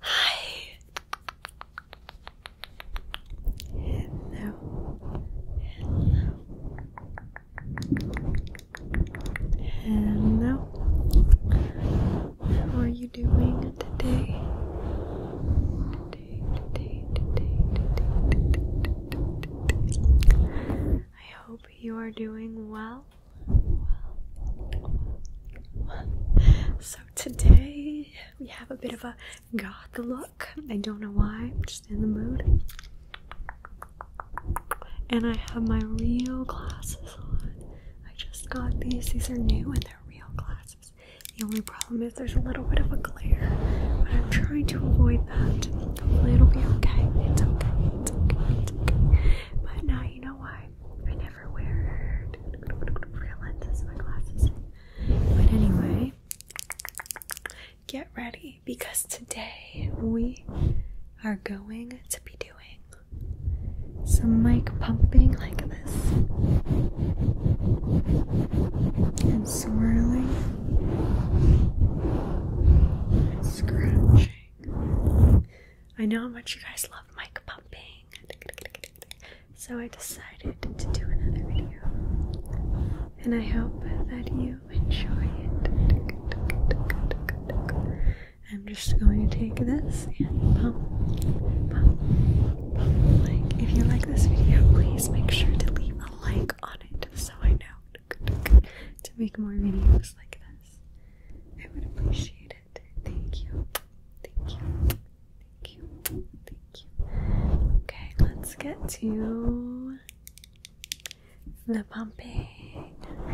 Hi. Hello. Hello. How are you doing today? I hope you are doing well. So today we have a bit of a goth look. I don't know why, I'm just in the mood. And I have my real glasses on. I just got these. These are new and they're real glasses problem is there's a little bit of a glare, but I'm trying to avoid that. Hopefully it'll be okay. It's okay. It's okay. It's okay. But now you know why I never wear real lenses in my glasses. But anyway, get ready because today we are going to be doing some mic pumping like this and swirling Scratching. I know how much you guys love mic pumping. So I decided to do another video. And I hope that you enjoy it. I'm just going to take this and pump, pump, pump. Like, if you like this video, please make sure to leave a like so I know to make more videos like this. I would appreciate it. Thank you. Thank you. Thank you. Thank you. Okay, let's get to the pumping. I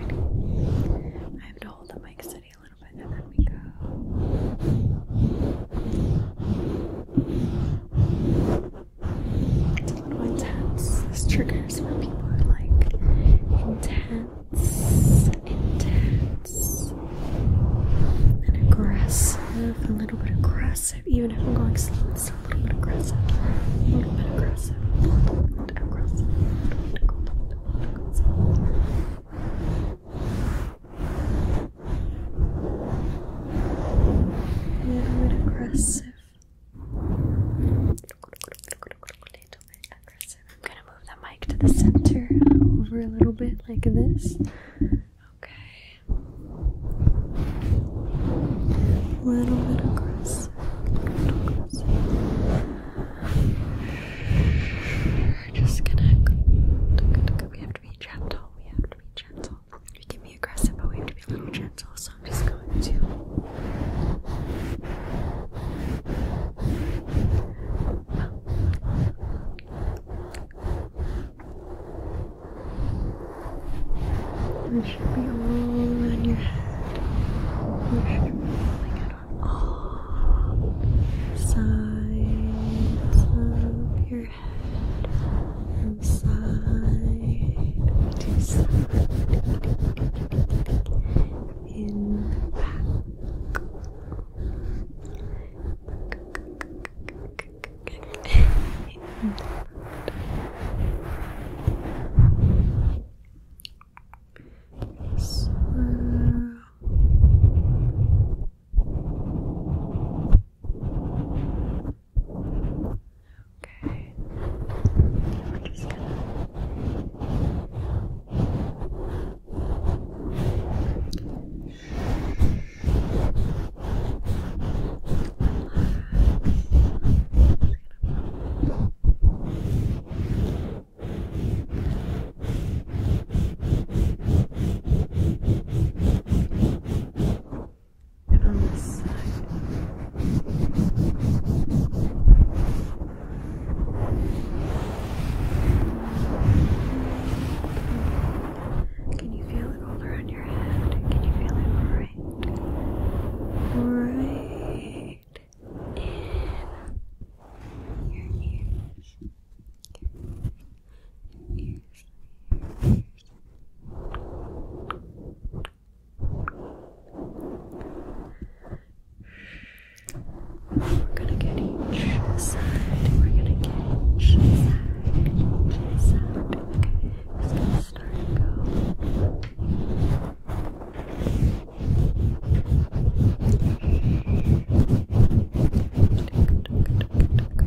have to hold the mic steady a little bit and then we go. A little intense. This triggers for people who like intense, intense, and aggressive, a little bit aggressive. Even if I'm going slow, it's A little bit aggressive. A little bit aggressive. A little bit aggressive little bit aggressive. A little bit aggressive. I'm gonna move the mic to the center over a little bit like this. Okay. A little bit aggressive. just gonna. We have to be gentle. We have to be gentle. We can be aggressive, but we have to be a little gentle, so I'm just going to This should be all in your head. This should be falling out on all sides of your from side to in back. in Okay. We're just gonna Relax and on this side. Can you feel it all around your head? Can you feel it right? Right in your ears your ears, your ears. We're gonna get each side. We're gonna get each side. Each side. Okay. So let's start and go. Tick, tick, tick, tick, tick.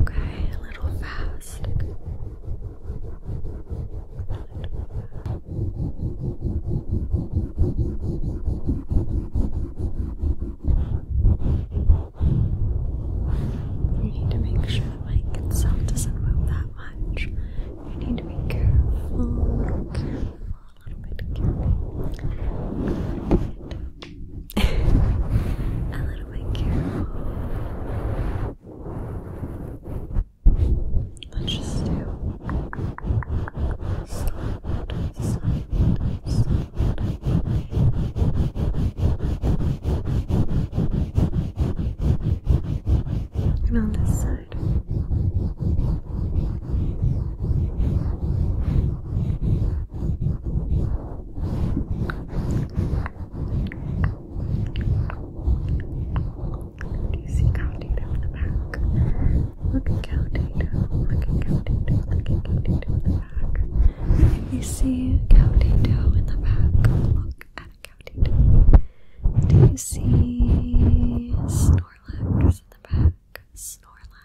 Okay, a little fast. You need to make sure the mic itself doesn't move that much. You need to be careful, a little bit careful a little bit careful. Let's just do side, side, side. And on this side. Do you see cow data on the back? Look at cow data. Look at cow data. Look at cow data on the back. If you see cow data in the back, look at cow data. Do you see Snorlax in the back? Snorlax.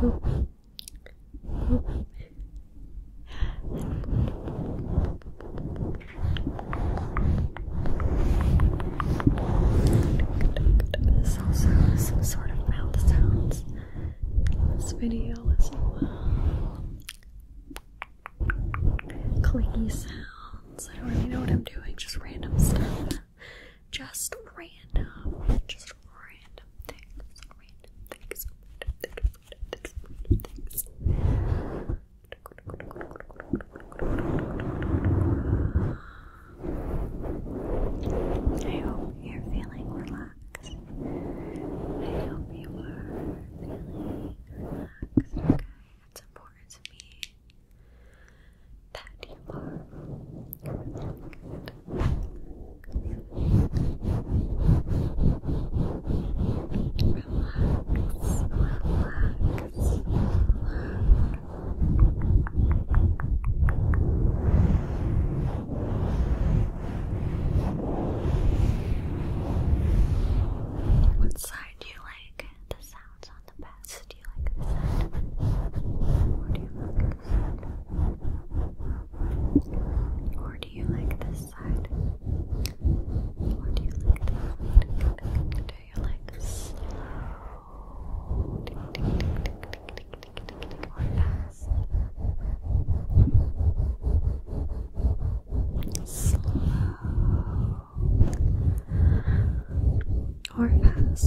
Boop. also some sort of mouth sounds this video as well. Clingy sounds. I don't really know what I'm doing, just random stuff just random, just random things, random things, random things, I hope you're feeling relaxed. I hope you are feeling relaxed. Okay, it's important me that what side do you like the sounds on the best? Do you like the side? Or do you like or do you like this side? Or do you like Do you like slow? Or fast? Slow or fast?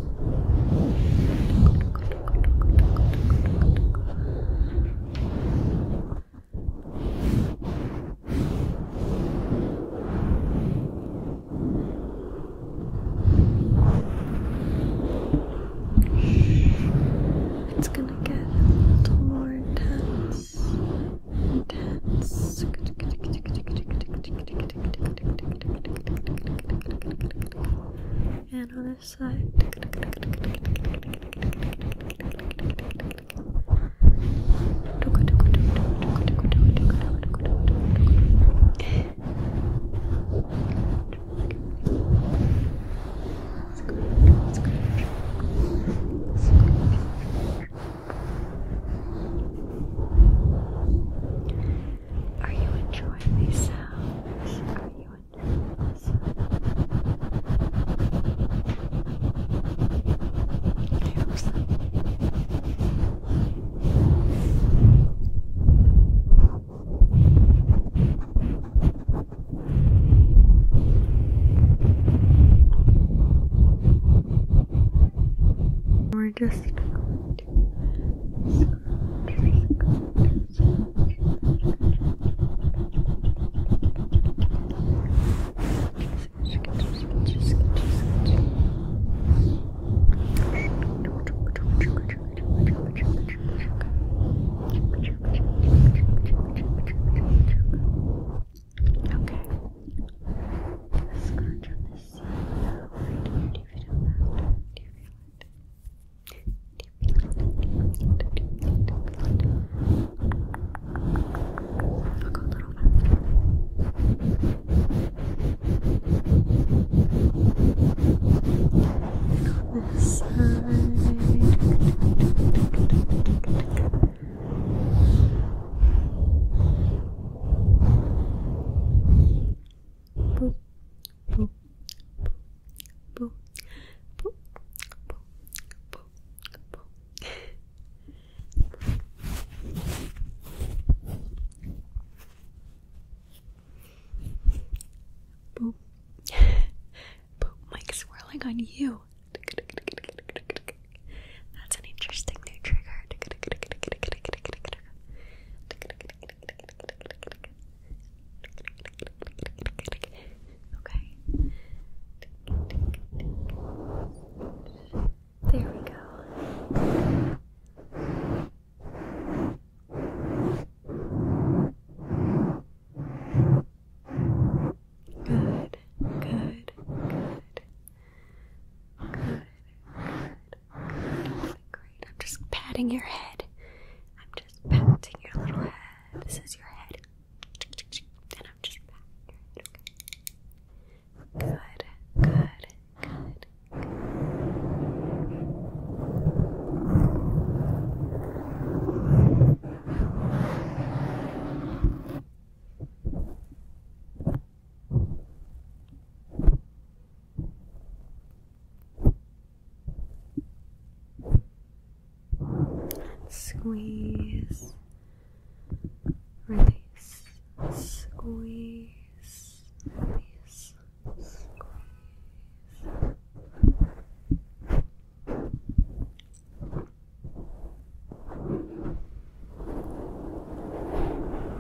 It's gonna get a little more intense. Intense. And on this side. Are you enjoying these sounds? Are you you under this one. I hope so. We're just going to Scratch on this side. Now, right here. Do you feel that? Do you feel it? I'll On this side. Boop, boop, boop, boop, boop, boop, boop. Boop. Boop, Mike swirling on you. That's an interesting new trigger. Okay. There we go. Good, good, good, good, Great. I'm just patting your head. I'm just patting your little head. This is your head. And I'm just patting your head. Good. Good. Good. And squeeze, release, squeeze, release, squeeze.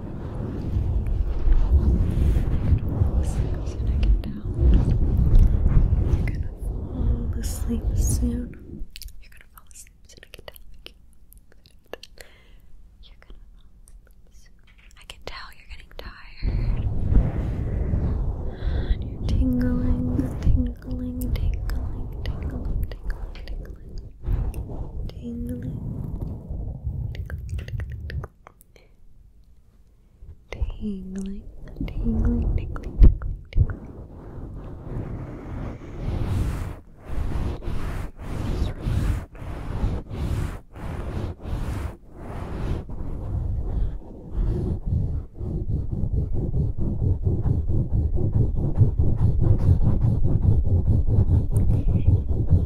you're gonna fall asleep soon. You're gonna fall asleep soon. I can tell. You're gonna fall asleep soon. I can tell you're getting tired. you're tingling, tingling, tingling, tingling, tingling, tingling tingly, tingling, tingling, tingling, tingling, tingling. Just relax.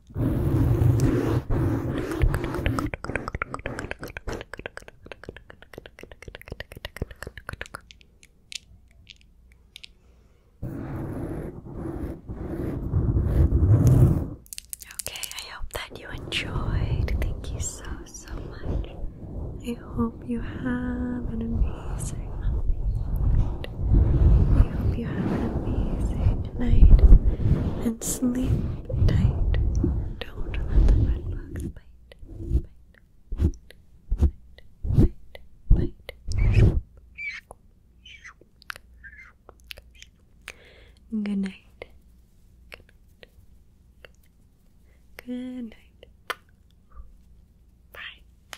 Okay, I hope that you enjoyed. Thank you so, so much. I hope you have an amazing night. I hope you have an amazing night sleep tight. Don't let the red box bite. Good night. Good night. Good night. Bye.